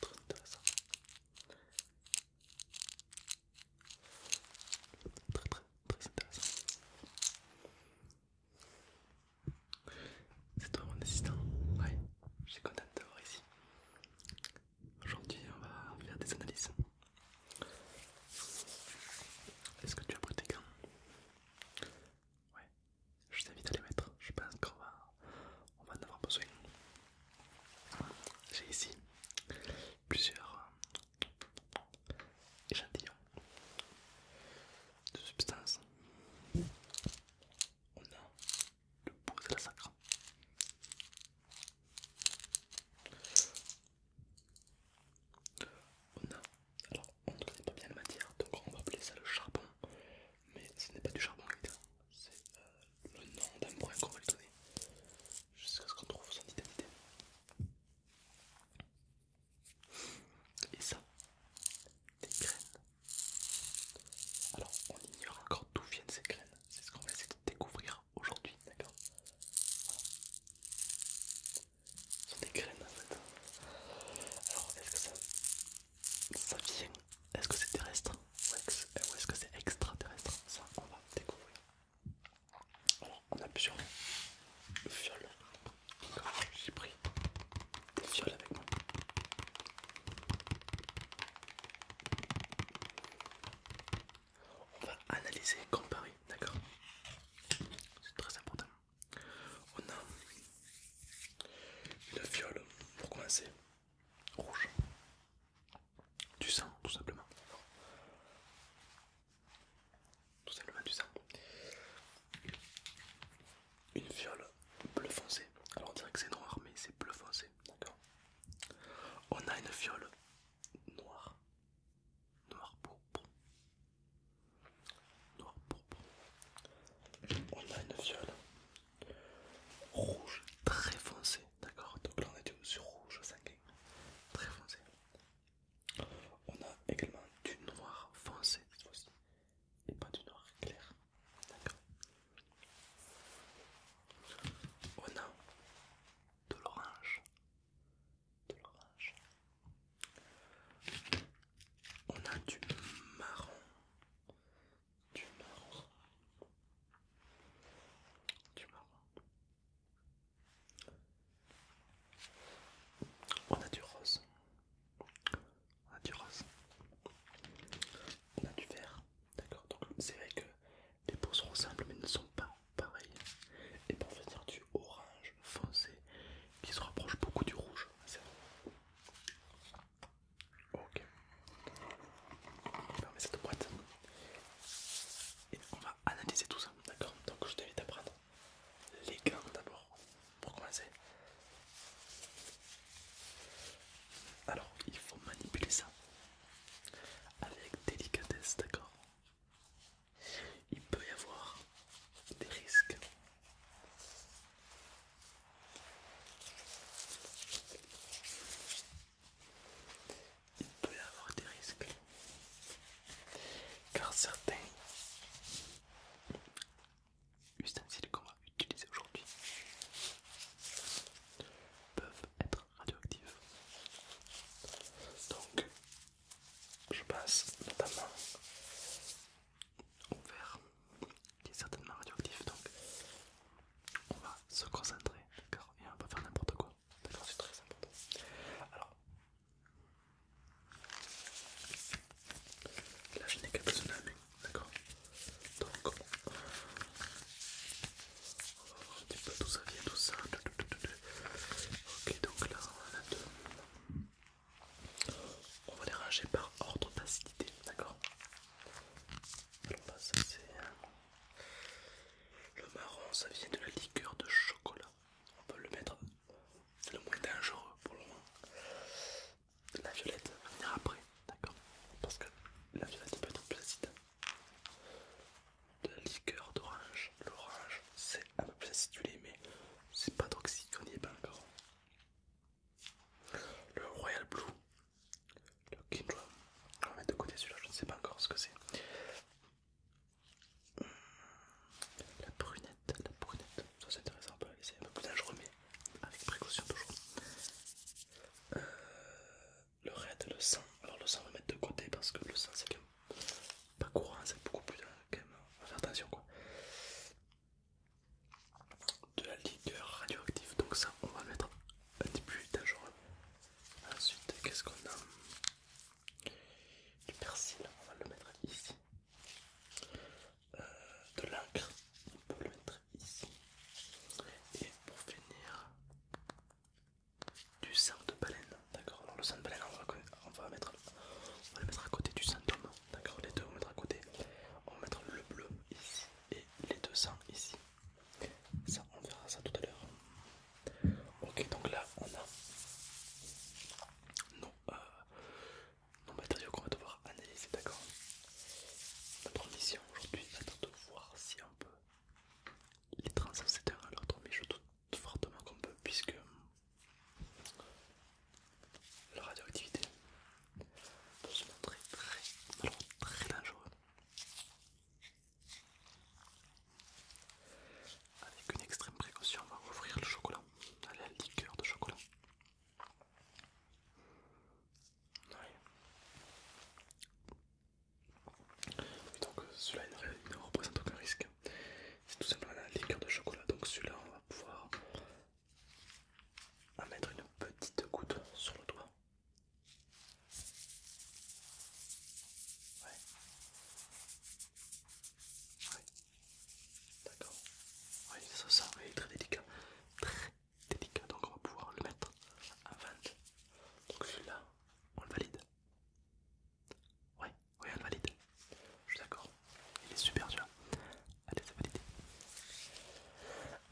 Très intéressant. Très très très intéressant. C'est toi mon assistant Ouais, je suis contente de te voir ici. Aujourd'hui, on va faire des analyses. Est-ce que tu as pris tes gants Ouais, je t'invite à les mettre. Je pense qu'on va, en avoir besoin. J'ai ici plusieurs euh, échantillons de substances. On a le pot de la sacre, on a, alors on ne connaît pas bien la matière, donc on va appeler ça le charbon, mais ce n'est pas du charbon évidemment, c'est euh, le nom d'un brun qu'on va lui donner jusqu'à ce qu'on trouve son identité. Et ça, des graines. Alors on ignore encore d'où viennent ces graines c'est ce qu'on va essayer de découvrir aujourd'hui, d'accord Ce sont des graines en fait. Alors est-ce que ça, ça vient Est-ce que c'est terrestre Ou est-ce que c'est extraterrestre Ça on va découvrir. Alors on a plusieurs fioles. J'ai pris des fioles avec moi. On va analyser, comparer, d'accord C'est très important. On a une fiole pour commencer, rouge, du sang tout simplement. Tout simplement du sang. Une fiole bleu foncé. Alors on dirait que c'est noir mais c'est bleu foncé, d'accord on a une fiole noire, noir pourpre, noir pourpre. On a une fiole rouge très foncé, d'accord Donc là on est sur rouge 5 très foncé. On a également du noir foncé cette fois-ci et pas du noir clair. On a de l'orange. De l'orange. On a du marron. Du marron. Du marron. On a du rose, on a du rose, on a du vert, D'accord, donc c'est vrai que les peaux sont simples mais ne sont pas pareilles. Et pour faire du orange foncé qui se rapproche beaucoup du rouge, c'est vrai. Ok. On cette boîte. Et on va analyser tout ça, d'accord Donc je t'invite à prendre les gants d'abord pour commencer. Alors, il faut manipuler ça avec délicatesse, d'accord Il peut y avoir des risques. Il peut y avoir des risques. Car certains ustensiles comme utilisés aujourd'hui peuvent être radioactifs. Donc, je passe notamment au verre qui est certainement radioactif. Donc, on va se concentrer, d'accord, et on va pas faire n'importe quoi. D'accord, c'est très important. Alors, là, je n'ai qu'à besoin d'un D'accord Donc, on va voir un petit ça vient, tout ça. Ok, donc là, on en a deux. On va les ranger par ordre d'acidité, d'accord Alors bah, ça c'est... Euh, le marron, ça vient de la liqueur de chocolat. On peut le mettre, c'est le moins dangereux pour le moment la violette va venir après, d'accord Parce que la violette peut être plus acide. La liqueur d'orange, l'orange, c'est un peu plus acidulé, mais c'est pas toxique, on y est pas encore. Le Royal Blue, le Kindra, on va mettre de côté celui-là, je ne sais pas encore ce que c'est. Hmm, la brunette, la brunette, ça c'est intéressant, on peut la laisser un peu plus dangereux, mais avec précaution toujours. Euh, le raid, le sang, alors le sang on va mettre de côté parce que le sang c'est quand même pas courant, c'est beaucoup plus on euh, va euh, faire attention quoi. De la ligueur radioactive, donc ça on va mettre un petit peu dangereux. Ensuite, qu'est-ce qu'on a Du persil, on va le mettre ici. Euh, de l'encre, on peut le mettre ici. Et pour finir, du sang de baleine, d'accord Alors le sang de baleine, on va, mettre, on va le mettre à côté du sang d'homme, d'accord Les deux, on va mettre à côté. On va mettre le bleu ici et les deux sangs ici. Ça, on verra ça tout à l'heure. Ok, donc là, on a nos, euh, nos matériaux qu'on va devoir analyser, d'accord Notre mission aujourd'hui va de voir si on peut les transverser d'un à l'autre, mais je doute fortement qu'on peut, puisque la radioactivité peut se montrer très, très dangereuse Avec une extrême précaution, on va ouvrir le chocolat, allez, la liqueur de chocolat. Donc celui-là ne, représente aucun risque. C'est tout simplement la liqueur de chocolat. Donc celui-là on va pouvoir en mettre une petite goutte sur le doigt. D'accord. Oui, ça, ça est très délicat. Très délicat. Donc on va pouvoir le mettre à 20. Donc celui-là, on le valide. Oui, oui, on le valide. Je suis d'accord. Il est super dur. Allez, c'est validé.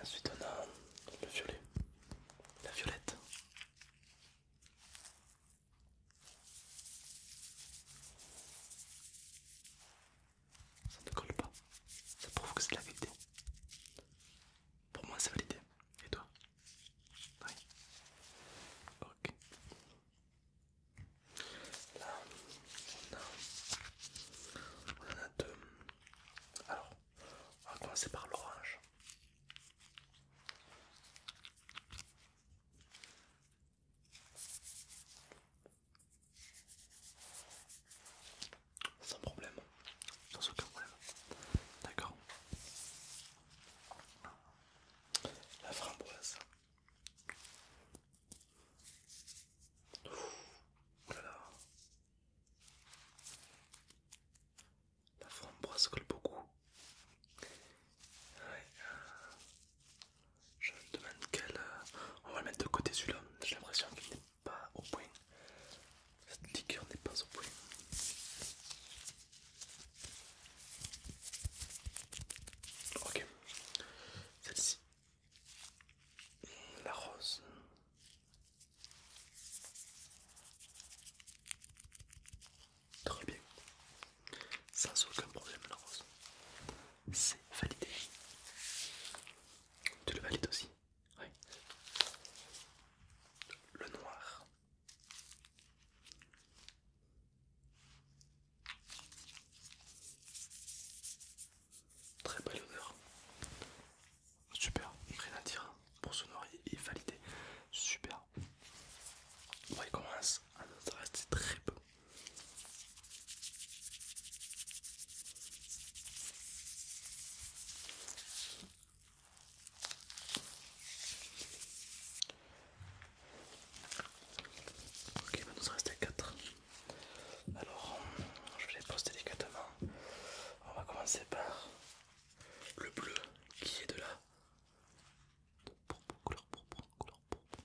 Ensuite on a le violet. La violette ça ne colle pas. Ça prouve que c'est la vérité. Pour moi, c'est validé. Et toi Oui. Ok. Là, on a, on a deux. Alors, on va commencer par l'orange. Sans problème, sans aucun problème. D'accord. La framboise. La framboise colle beaucoup. Je me demande quel. Euh, on va le mettre de côté celui-là. J'ai l'impression qu'il n'est pas au point. Cette liqueur n'est pas au point. Ok. Celle-ci. La rose. Très bien. Sans aucun problème la rose c'est validé. Tu le valides aussi Oui. Le noir. Très belle odeur. Super, rien à dire pour ce noir est validé. Super. On commence y à ça reste, très peu Ok, il va reste rester 4. Alors, je vais les poser délicatement. On va commencer par le bleu qui est de la de pour couleur pourpre, couleur pourpre.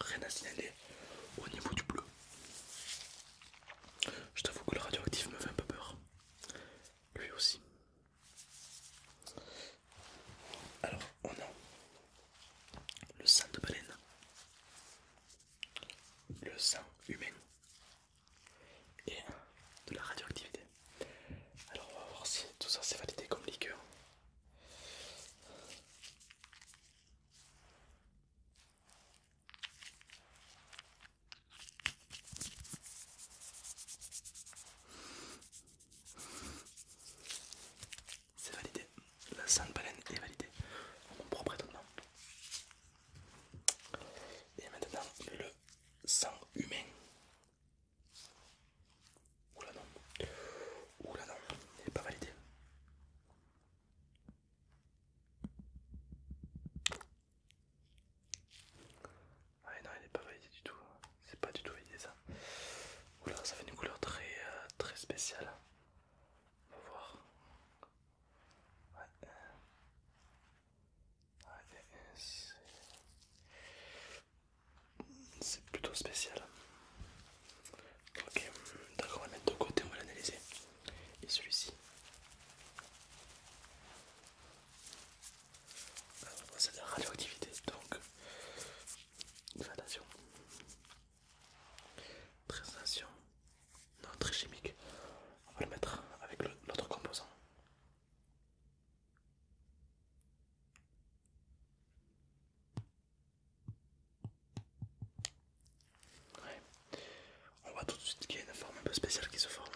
Rien à signaler au niveau du bleu. Je t'avoue que le radioactif me fait un peu peur. Lui aussi. Alors, on a le sang de baleine, le sang humain et de la radioactivité. Alors on va voir si tout ça c'est validé comme liqueur. C'est validé, la de baleine est validée en mon propre étonnement. Et maintenant le sang humain Oula non. Oula non, il n'est pas validé. Ah non, il n'est pas validé du tout. C'est pas du tout validé ça. Oula, ça fait une couleur très euh, spéciale. On va voir. Ouais. Ouais, c'est plutôt spécial. Ok, d'accord, on va le mettre de côté, on va l'analyser. Et celui-ci c'est ah, de la radioactivité, donc attention. Très attention. Non, très chimique. On va le mettre avec l'autre composant. On voit tout de suite qu'il y a une forme un peu spéciale qui se forme.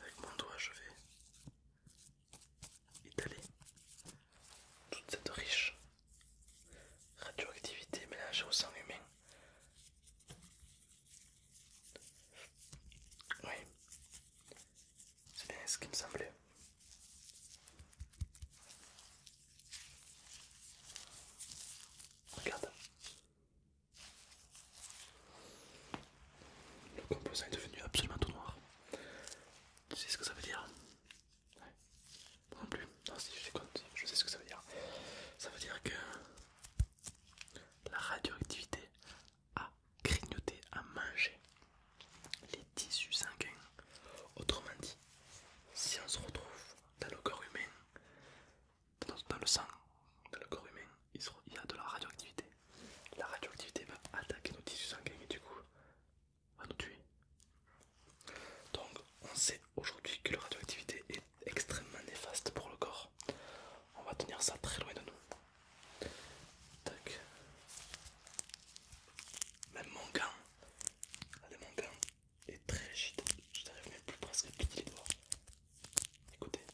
Avec mon doigt, je vais étaler toute cette riche Radioactivité mélangée au sang humain. Oui, c'est bien ce qui me semblait. Regarde. Le composant est devenu absolument tout noir. Tu sais ce que ça veut dire non plus. Non, si je compte, je sais ce que ça veut dire. Ça veut dire que la radioactivité a grignoté, a mangé les tissus sanguins. Autrement dit, si on se retrouve dans le corps humain, dans le sang, dans le corps humain, il y a de la radioactivité. La radioactivité va attaquer nos tissus sanguins et du coup, tout Donc on sait aujourd'hui que la radioactivité est extrêmement néfaste pour le corps. On va tenir ça très loin de nous. Tac. Même mon gant. Allez est très rigide. Je n'arrive même plus presque à plier les doigts. Écoutez,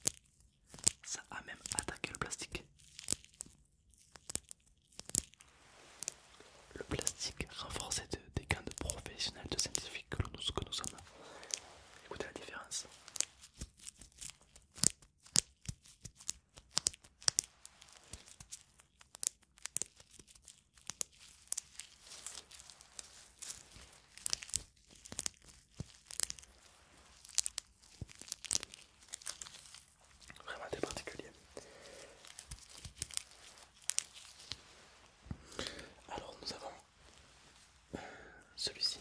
ça a même attaqué le plastique. Le plastique renforcé des gants de professionnels de scientifiques que nous, que nous sommes. Écoutez la différence. Vraiment des particulier. Alors nous avons euh, celui-ci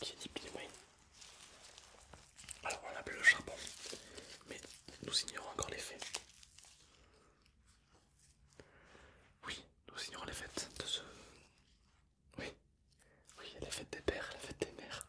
qui est dit Alors on plus le charbon, mais nous ignorons encore les faits. Oui, nous ignorons les fêtes de ce. Oui, oui, les fêtes des pères, les fêtes des mères.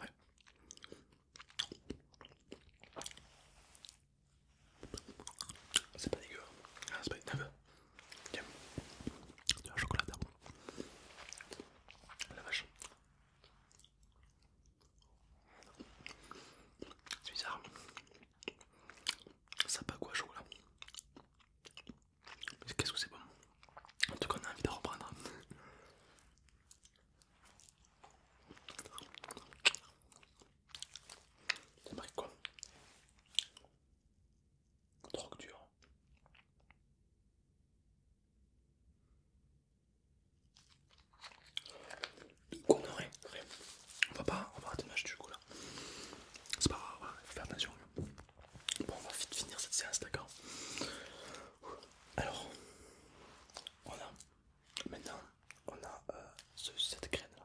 Ouais. C'est pas dégueu. Hein. Ah, c'est pas une Tiens. Tiens, Du chocolat La vache. C'est bizarre. Ça pas quoi chocolat Qu'est-ce que c'est bon En tout cas on a envie de reprendre. C'est quoi Drogue dure. Qu'on on va pas, on va arrêter de du coup là. C'est pas grave, il faut attention. Bon, on va vite finir cette séance, d'accord alors, on a maintenant on a euh, cette graine là.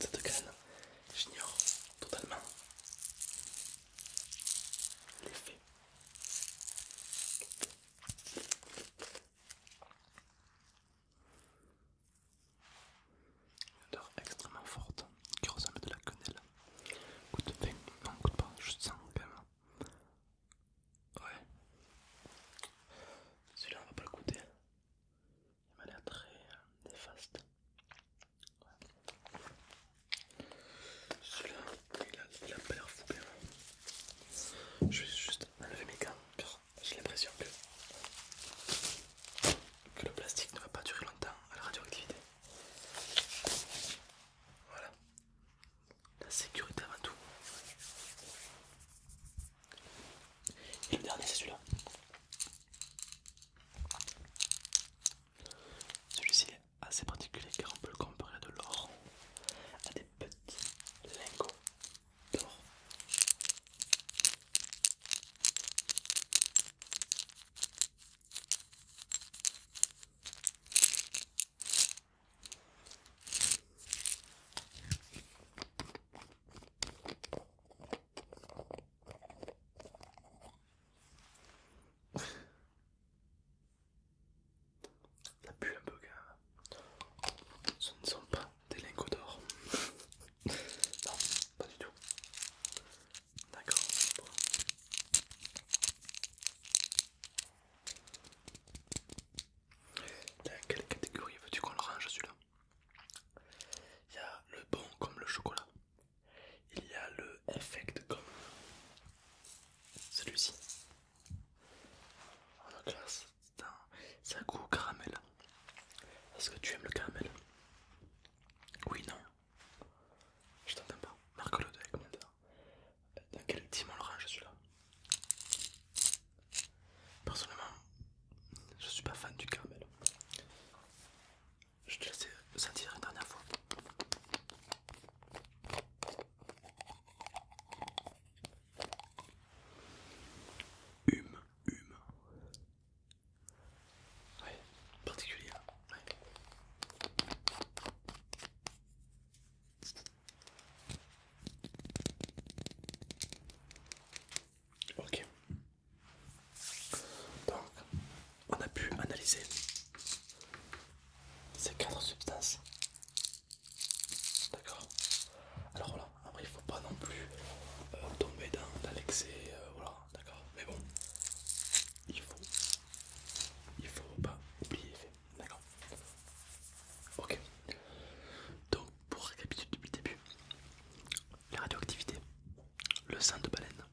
Cette graine, j'ignore totalement l'effet. Une odeur extrêmement forte qui ressemble à de la quenelle. Coûte 20, non, coûte pas, juste 100 quand même. Ouais. Celui-là, on va pas le goûter. Il m'a l'air très euh, néfaste. Celui-là, il a, l'air fou Je vais juste enlever mes gants car j'ai l'impression que le plastique ne va pas durer longtemps à la radioactivité. Voilà. La sécurité avant tout. Et le dernier, c'est celui-là. Celui-ci est assez particulier car on peut le comparer de l'or à des petits lingots d'or. Ça pue un peu gars. Ce ne sont pas des lingots d'or. non, pas du tout. D'accord. Bon. quelle catégorie veux-tu qu'on le range celui-là Il y a le bon comme le chocolat. Il y a le effect comme celui-ci. On oh, la classe ça un goût caramel. Est-ce que tu aimes le caramel Oui, non. Je t'entends pas. Marque le avec combien Dans quel dimanche je suis là Personnellement, je suis pas fan du caramel. Je te laisse sentir une dernière fois. Hume, hume. Oui, particulier. Ok. Donc, on a pu analyser ces quatre substances. D'accord Alors voilà, après il faut pas non plus euh, tomber dans l'excès, euh, voilà, d'accord, Mais bon, il faut, il faut pas oublier, d'accord. Ok. Donc pour récapituler depuis le début, la radioactivité, le sang de baleine,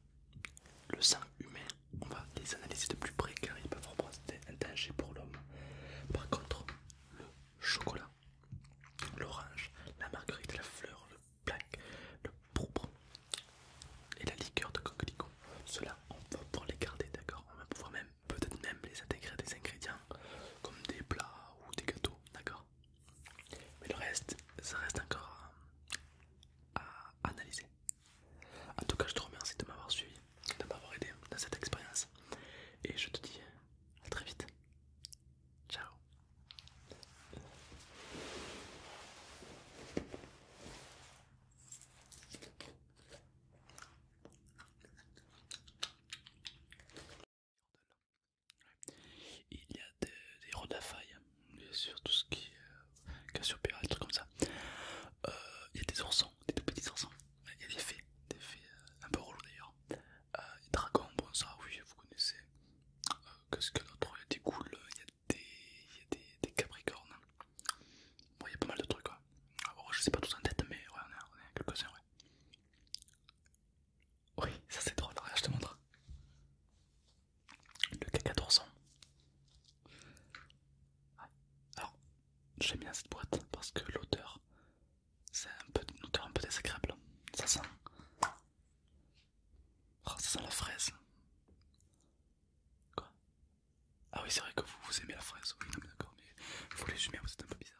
le sang humain, on va les analyser de plus près car ils peuvent représenter un danger pour l'homme. Par contre, le chocolat, l'orange, la marguerite, la fleur, le le pourpre et la liqueur de coquelicot. Cela, on va pouvoir les garder, d'accord On va pouvoir même, peut-être même les intégrer des ingrédients comme des plats ou des gâteaux, d'accord Mais le reste, ça reste encore à analyser. En tout cas, je te remercie de m'avoir suivi, de m'avoir aidé dans cette expérience. Et je te dis à très vite. Ciao il y a des, la faille, bien sûr, tout ce qui est sur euh, cassiopéra, des comme ça. Euh, il y a des oursons, des tout petits oursons. Il y a des fées, des fées euh, un peu relou d'ailleurs. Euh, dragon, bon ça oui vous connaissez. Euh, qu'est-ce que l'autre Il y a des il y a des, il y a des, des capricornes. Bon, il y a pas mal de trucs. quoi je sais pas tout en tête, mais ouais, on est, on quelques Ouais. Oui, ça c'est drôle, regarde, je te montre. Le caca d'ourson. Alors, j'aime bien cette boîte parce que l'odeur, c'est un peu une un peu désagréable. Ça sent. Oh, ça sent la fraise. Quoi Ah oui, c'est vrai que vous, aimez la fraise. Oui, d'accord, mais vous les jumez, vous êtes un peu bizarre.